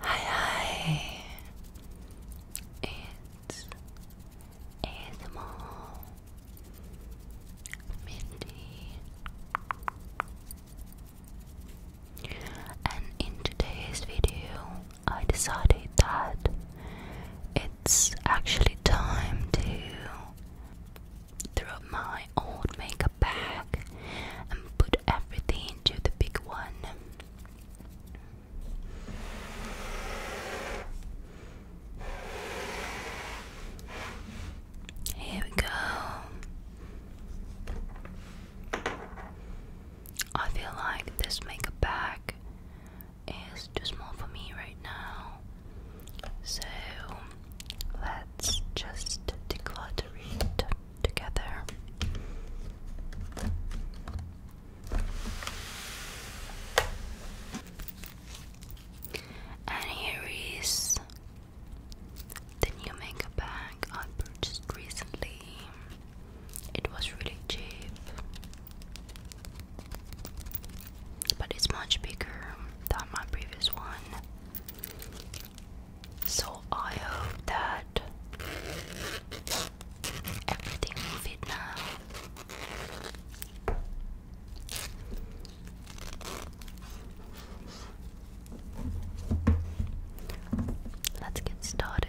Hi, hi. It's ASMR Mindy, and in today's video, I decided that it's actually time to throw my old makeup bag and put everything into the big one. Here we go. I feel like this makeup bag is too small for me right now. So let's just declutter it together. And here is the new makeup bag I purchased recently. It was really cheap, but it's much bigger than my previous one. So I hope that everything will fit now. Let's get started.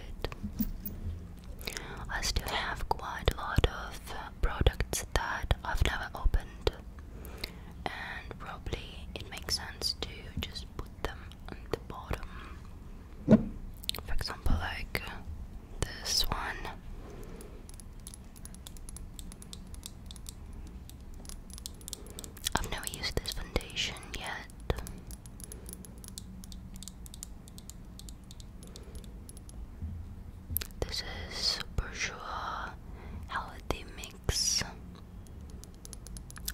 I still have quite a lot of products that I've never opened, and probably it makes sense to just put them on the bottom. For example, like this one. I've never used this foundation yet. This is bourgeois healthy mix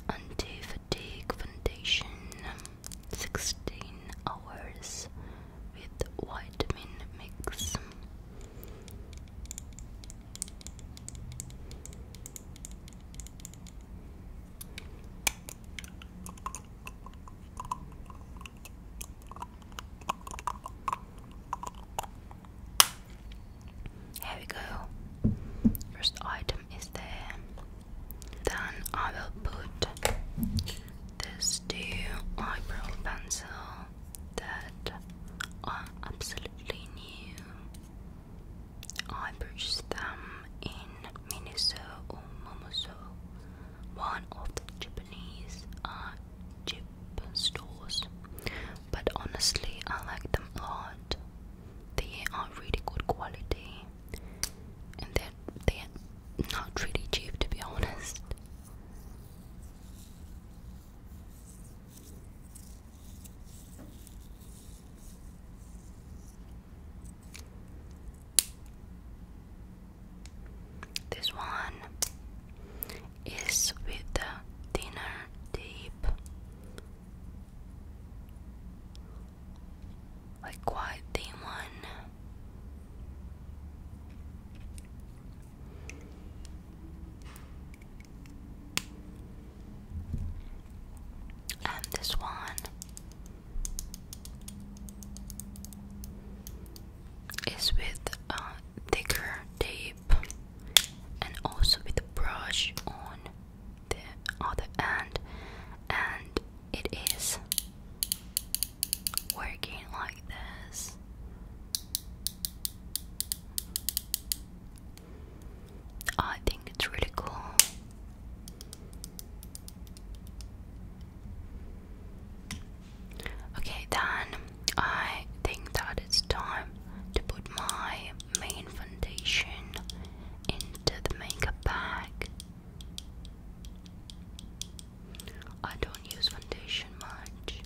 anti-fatigue foundation 16 hours with vitamin mix here we go. First item is there. Then I will put this new eyebrow pencil that are absolutely new I purchased them in Miniso or Momosu, one of the Japanese uh, chip stores. But honestly, I like them a lot. They are really good quality, and they're they're not really cheap to be honest. This one is with the thinner tape, like quite thin one. And um, this one. Is with a uh, thicker tape and also with a brush on the other end, and it is working like this. Oh, I think it's really cool. Okay, then I think that it's time to put my main foundation into the makeup bag. I don't use foundation much,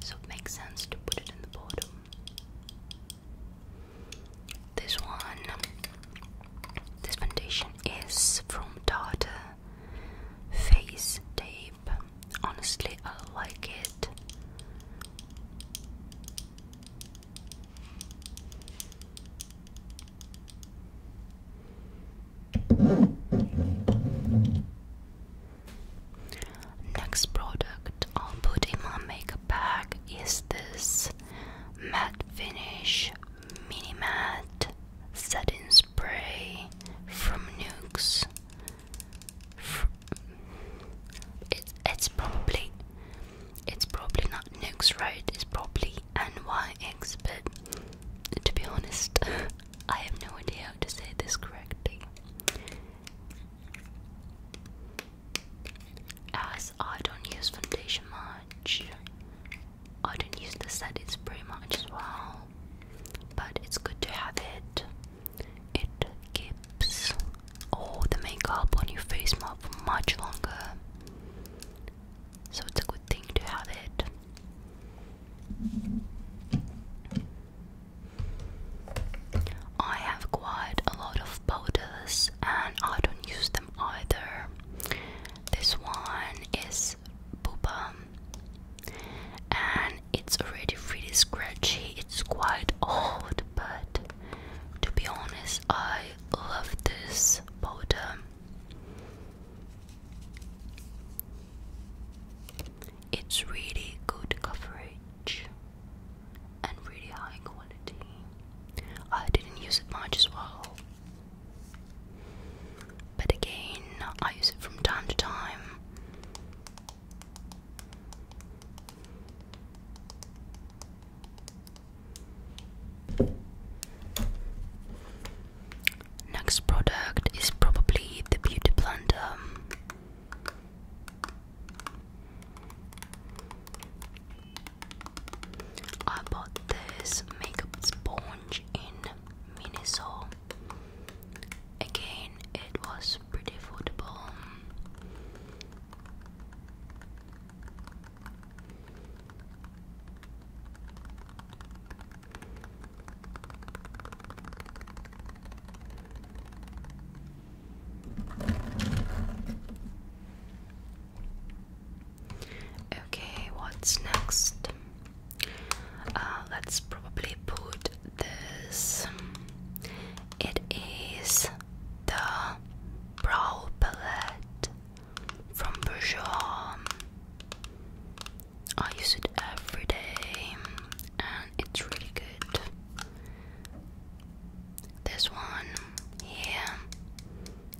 so it makes sense to put it in the bottom. This one, this foundation is from Tarte Face Tape. Honestly, I like it. Next product I'll put in my makeup bag is this matte finish mini matte setting spray from Nukes. it's probably it's probably not Nukes, right? It's probably NYX, but to be honest, I have no idea how to say this correctly. As I don't use foundation much, I don't use the setting spray much as well, but it's good to have it. It keeps all the makeup on your face for much longer, so it's a good thing to have it. I have quite a lot of powders and I don't use them either. This one is Booba and it's already really scratchy. It's quite old, but to be honest, I love this powder. It's really good coverage and really high quality. I didn't use it much as well. But again, I use it from time to time. Next product is probably the Beauty Blender. I bought this makeup sponge in Minnesota. Again, it was pretty affordable. Okay, what's next? Uh, let's probably put this. It is the brow palette from Bourjois. I use it every day and it's really good. This one here,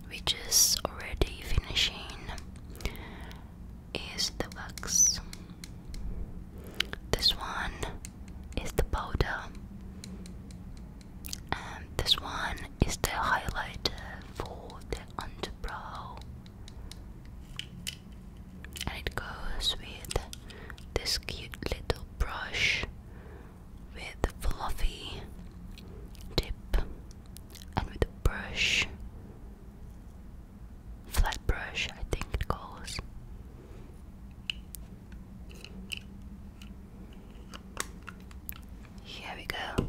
which is already finishing, is the wax. This one is the powder, and this one is the highlighter for the underbrow and it goes with this cute little brush with the fluffy tip and with a brush flat brush I think it goes here we go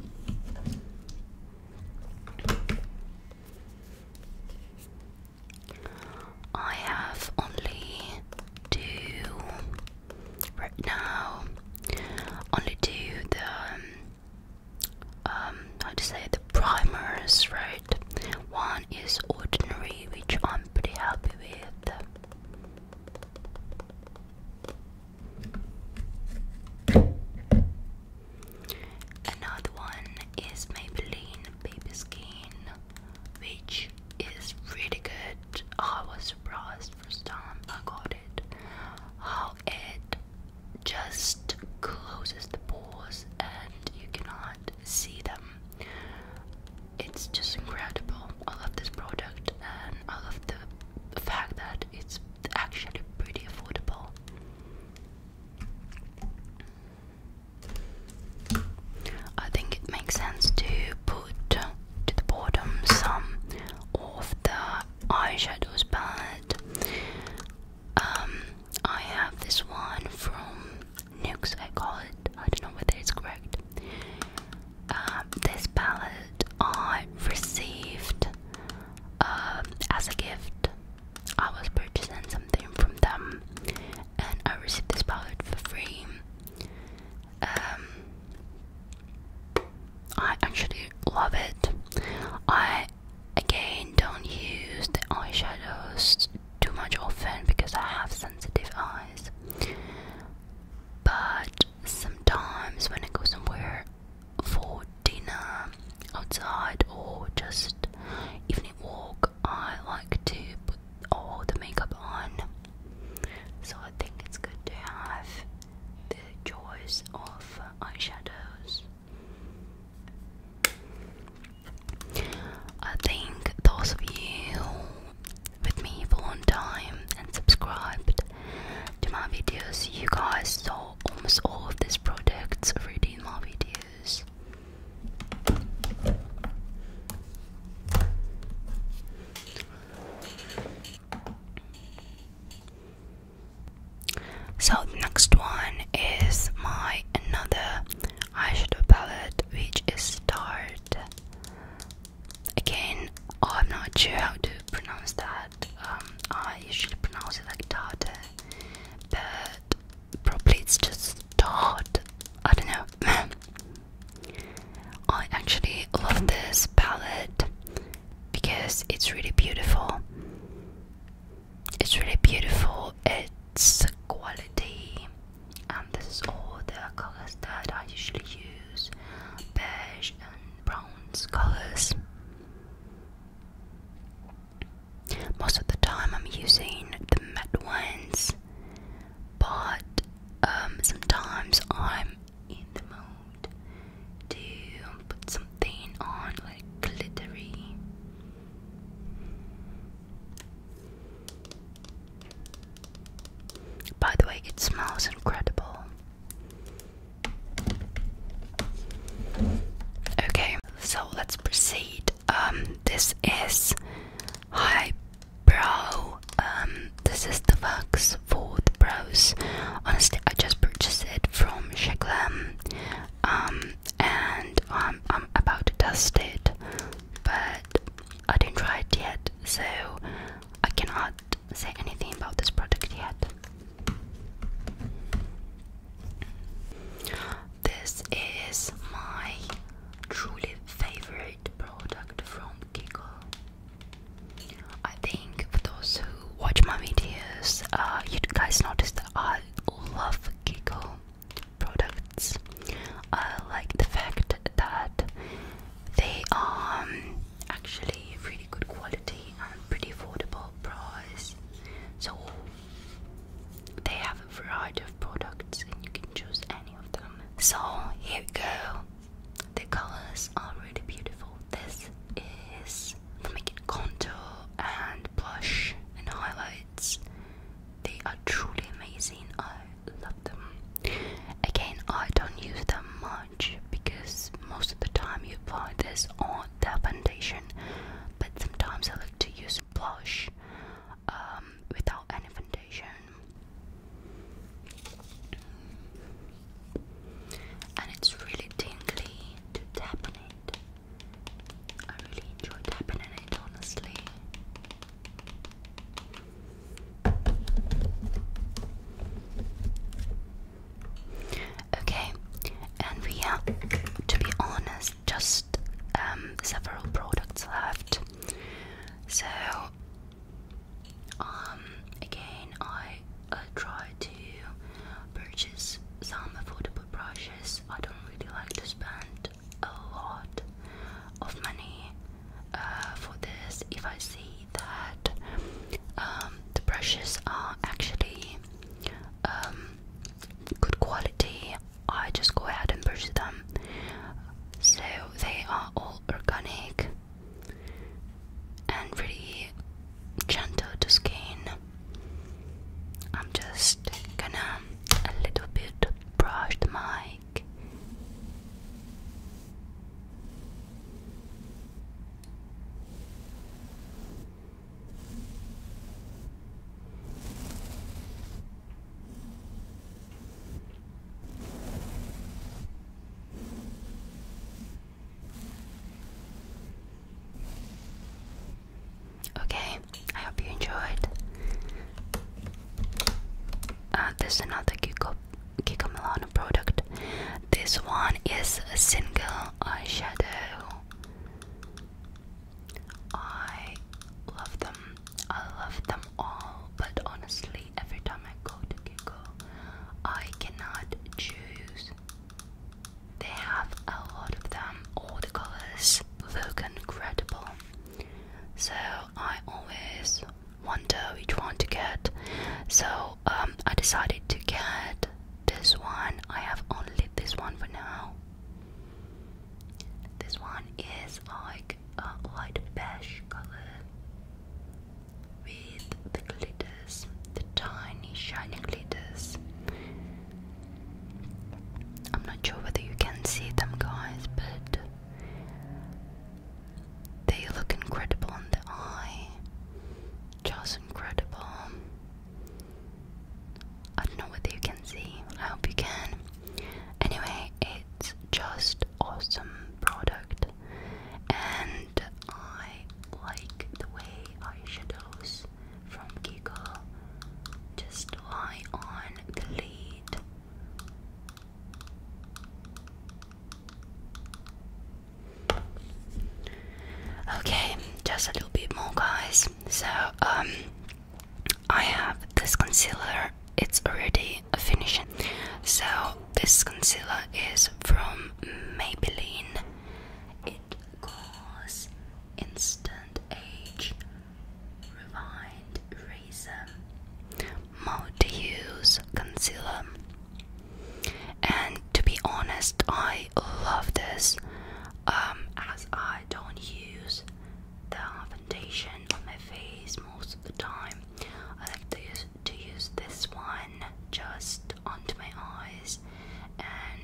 I have only two right now. Only two the um, um how to say the primers, right? One is ordinary, which I'm pretty happy with. Another one is Maybelline Baby Skin which is really good. I was surprised first time I got it. How it just closes the pores and you cannot see them. It's just incredible. I love this product and I love the fact that it's actually pretty affordable. I think it makes sense to put to the bottom some of the eyeshadows but um, I have this one from Nukes I call it, I don't know whether it's correct. Uh, this palette I received um, as a gift. I was purchasing something from them and I received this palette for free. Um, I actually love it. I again don't use the eyeshadows too much often because I have sensitive eyes. But sometimes when I go somewhere for dinner outside or just evening walk I like to put all the makeup on, so I think it's good to have the choice of eyeshadows. I think those of you with me for a long time and subscribed to my videos, you guys saw almost all of these products already in my videos. So the next one is my another eyeshadow palette which is Start. Again, I'm not sure how to pronounce that. Um, I usually pronounce it like Tarte, but probably it's just hot. I don't know. I actually love this palette because it's really beautiful. It's really beautiful. It's quality, and this is all the colors that I usually use: beige and bronze colors. Most of the time I'm using the matte ones, but um, sometimes I'm in the mood to put something on like glittery. By the way, it smells incredible. Okay, so let's proceed. Um, this is highbrow. Um, this is the wax for the brows. Honestly, I just purchased it from Shaglam. Um, and I'm about to test it, but I didn't try it yet, so I cannot say anything about this product yet. This is my truly favorite product from Kiko. I think for those who watch my videos, uh, you guys noticed that I love Kiko products. I like the fact that they are um, actually really good quality and pretty affordable price. So they have a variety of products and you can choose any of them. So here we go. The colors are really beautiful. This is the making Contour and Blush and Highlights. They are truly amazing. I love them. Again, I don't use them much because most of the time you apply this on the foundation, but sometimes I like to use blush um, without any foundation. And it's really tingly to tap on it. I really enjoy tapping on it, honestly. Okay, and we are, to be honest just um, several products left. So, um, again, I uh, try to purchase some affordable brushes. I don't really like to spend a lot of money uh, for this if I see that um, the brushes are actually good quality I just go ahead and purchase them. So they are all organic and pretty gentle to skin. I'm just gonna a little bit brush the mic. Okay, I hope you enjoyed. Uh, this is another Kiko, Kiko Milano product. This one is a single eyeshadow. I love them. I love them all, but honestly, every time I go to Kiko, I cannot choose. They have a lot of them. All the colors look incredible. So I always wonder which one to get. So um, I decided to get this one. I have only this one for now. This one is like a light beige color with the glitters, the tiny shiny glitters. I'm not sure whether you can see them, guys, but they look incredible in the eye. Just incredible. I don't know whether you can see. I hope you can. Anyway, it's just awesome product, and I like the way eyeshadows from Kiko just lie on the lid. Okay, just a little bit more, guys so um, i have this concealer it's already finished so this concealer is from maybelline it calls instant age rewind razor multi-use concealer and to be honest i love this um, as I don't use the foundation on my face most of the time. I like to use, to use this one just onto my eyes, and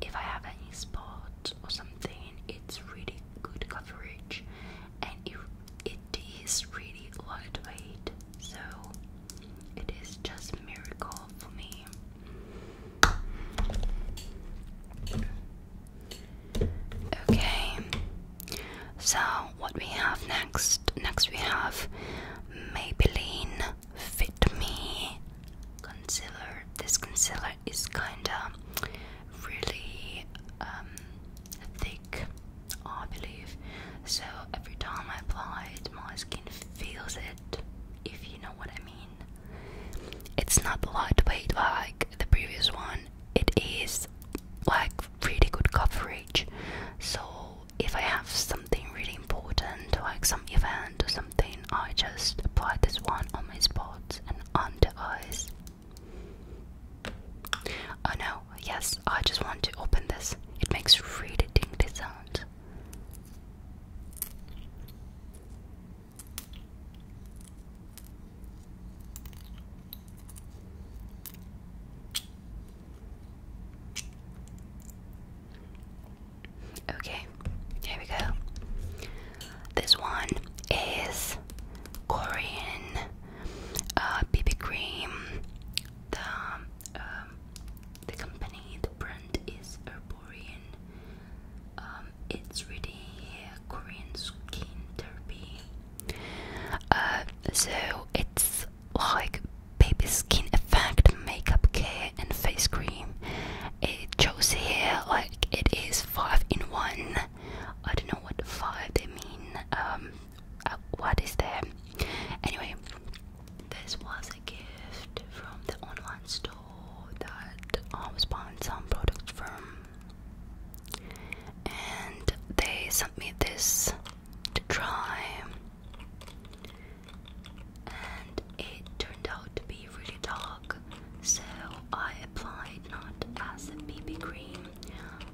if I have any spot or something, it's really good coverage, and it, it is really lightweight, so it is just a miracle for me. Okay, so what we have next? Next, we have Maybelline Fit Me Concealer. This concealer is kinda really um, thick, I believe. So every time I apply it, my skin feels it, if you know what I mean. It's not lightweight like the previous one. It is like really good coverage. So if I have something really important, like some event or something, I just apply this one on my spots and under eyes. Oh no, yes, I just want to open this. It makes really dingy sound. Okay, here we go. This one is Korean BB uh, cream. The um, the company, the brand is Herb um, it's really here Korean skin therapy. Uh, so it's like baby skin effect, makeup care, and face cream. It shows here like it is five in one. I don't know what five they mean. Um, uh, what is there? Anyway, this was a gift from the online store that um, was buying some products from and they sent me this to try and it turned out to be really dark so I applied not as a BB cream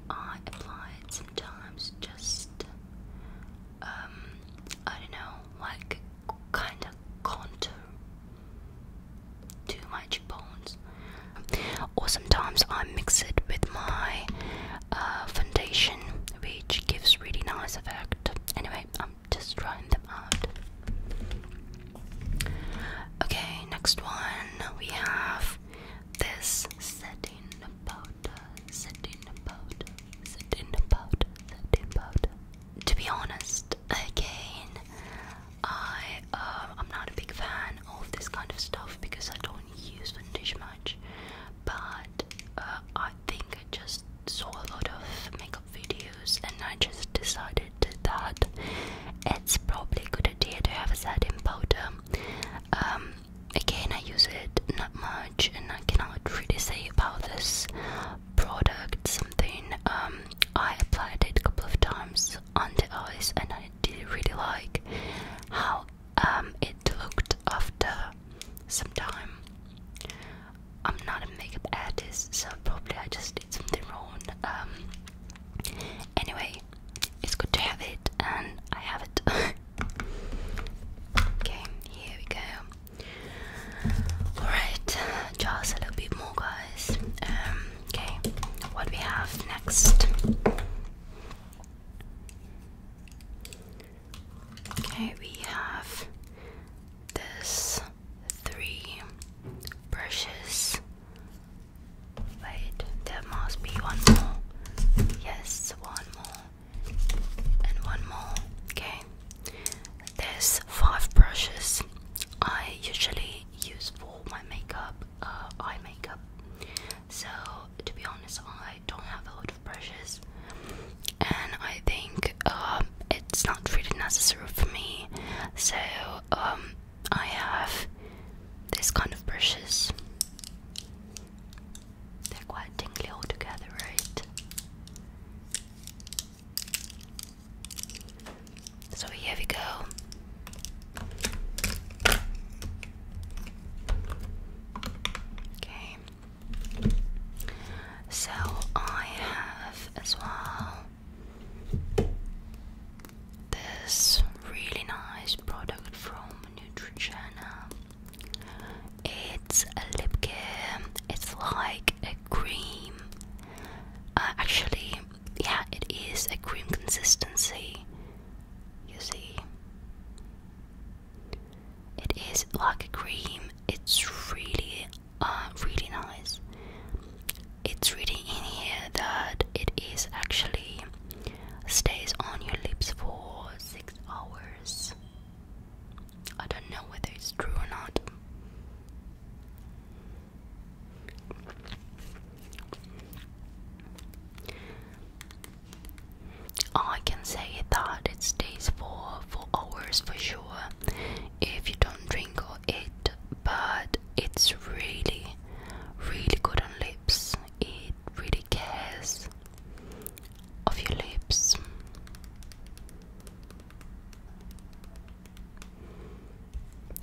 I applied sometimes just um, I don't know, like kind of contour. Too much bones. Or sometimes I mix it with my uh, foundation, which gives really nice effect. Anyway, I'm just trying them out. Okay, next one we have this setting powder, setting powder, setting powder, setting powder, to be honest, again, I uh, I'm not a big fan of this kind of stuff because I don't use vintage much. But uh, I think I just saw a lot of makeup videos and I just decided that it's probably a good idea to have a satin powder. Um, again, I use it not much, and I cannot really say about this product something um I applied it a couple of times on the eyes and I did really like how um it looked after some time I'm not a makeup artist so probably I just did something wrong um anyway it's good to have it and I have it okay here we go Alright, just a little bit more, guys. Um, okay, what we have next? Okay, we have this three brushes. Wait, there must be one more. Yes, one more and one more. Okay, there's five brushes I usually use for my makeup, uh, eye makeup. So, to be honest, I don't have a lot of brushes, and I think um, it's not really necessary for me. So, um, I have this kind of brushes. They're quite tingly all together, right? So here we go. Okay. So I have as well this really nice product from Neutrogena. It's a lip care. It's like a cream. Uh, actually, yeah, it is a cream consistency. You see, it is like a cream. It's really, uh, really nice. It's really in here that it is actually stays on your lips for six hours. I don't know whether it's true or not. I can say that it stays for for hours for sure if you don't drink or eat, but it's really, really good on lips. It really cares of your lips.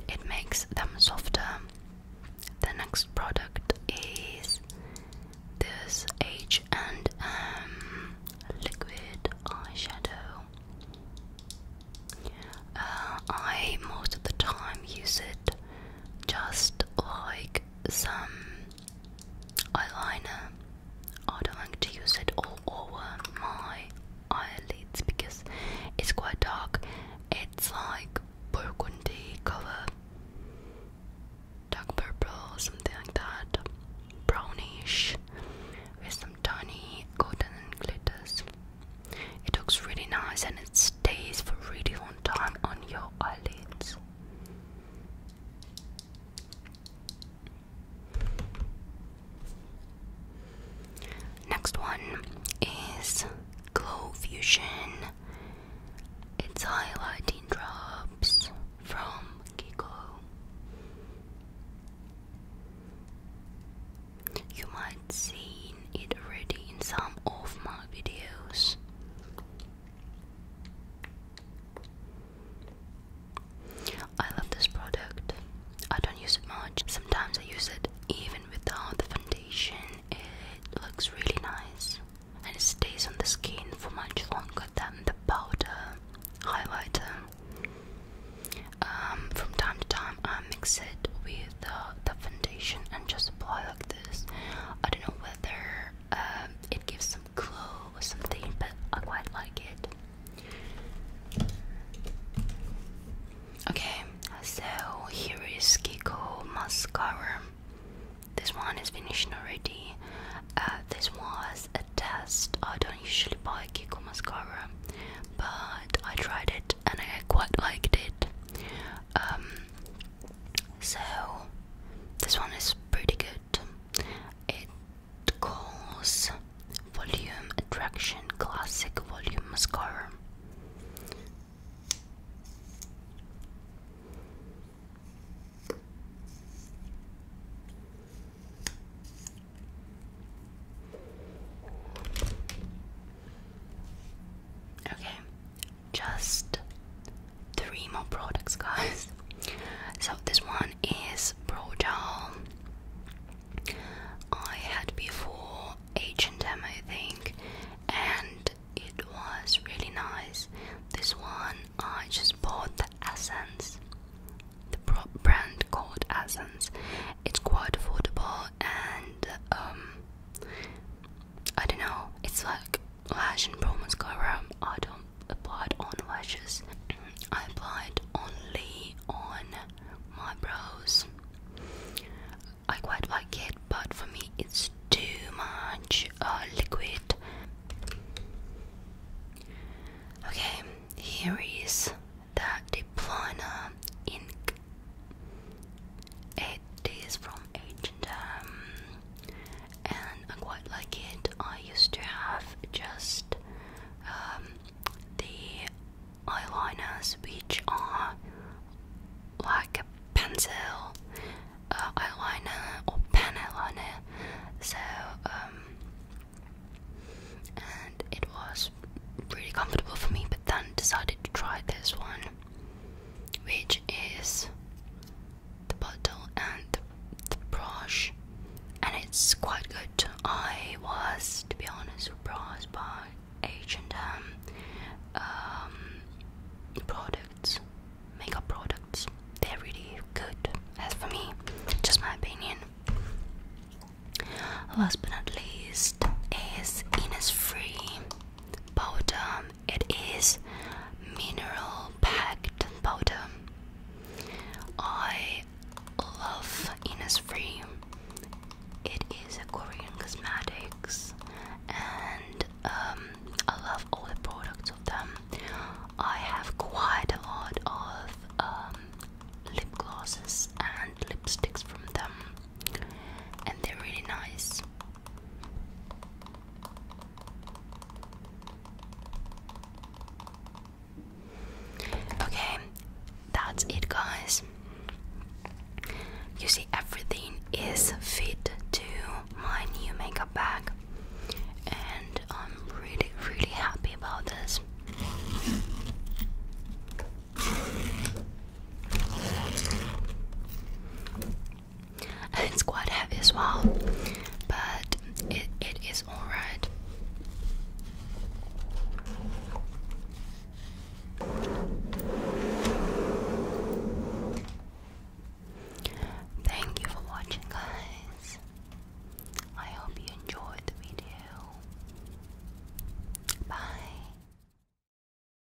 It makes them softer. The next product is this H and M liquid eyeshadow. Uh, I most of the time use it just like some eyeliner. I don't like to use it all over my eyelids because it's quite dark. It's like burgundy color, dark purple, something like that, brownish, with some tiny golden glitters. It looks really nice and it stays for a really long time on your eyelids. Next one is Glow Fusion. It's highlighting drops from Kiko. You might seen it already in some of my videos. I love this product. I don't use it much. Sometimes I use it even without the foundation. It looks really nice and it stays on the skin for much longer than the powder highlighter. Um, from time to time, I mix it with the foundation and just apply like this. I don't know whether um, it gives some glow or something, but I quite like it. Okay, so here is Kiko mascara. This one is finished already. Uh, this was a test. I don't usually buy Kiko mascara, but I tried it and I quite liked it. Um, so this one is pretty good it calls Volume Attraction Classic Volume Mascara. Okay, just three more products, guys. So this one is Pro Gel. I had before H&M, think, and it was really nice. This one, I just bought the Essence, the brand called Essence. It's quite affordable, and um, I don't know, it's like lash and brow mascara I don't apply it on lashes I apply it only on my brows I quite like it but for me it's too much uh, liquid okay here is the deep ink it is from ancient um, and I quite like it. I used to have just um, the eyeliners which are like a pencil uh, eyeliner or pen eyeliner. So um, and it was really comfortable for me, but then decided to try this one, which is the bottle and the, brush and it's quite good i was to be honest surprised by h&m products makeup products they're really good as for me just my opinion last but not least is innisfree powder it is mineral packed powder. I love Innisfree. It is a Korean cosmetics, and um, I love all the products of them. I have quite a lot of um, lip glosses and lipsticks from them, and they're really nice. Okay, that's it, guys. You see, everything is fit to my new makeup bag, and I'm really, really happy about this it's quite heavy as well, but it, it is alright. Thank you for watching, guys. I hope you enjoyed the video. Bye.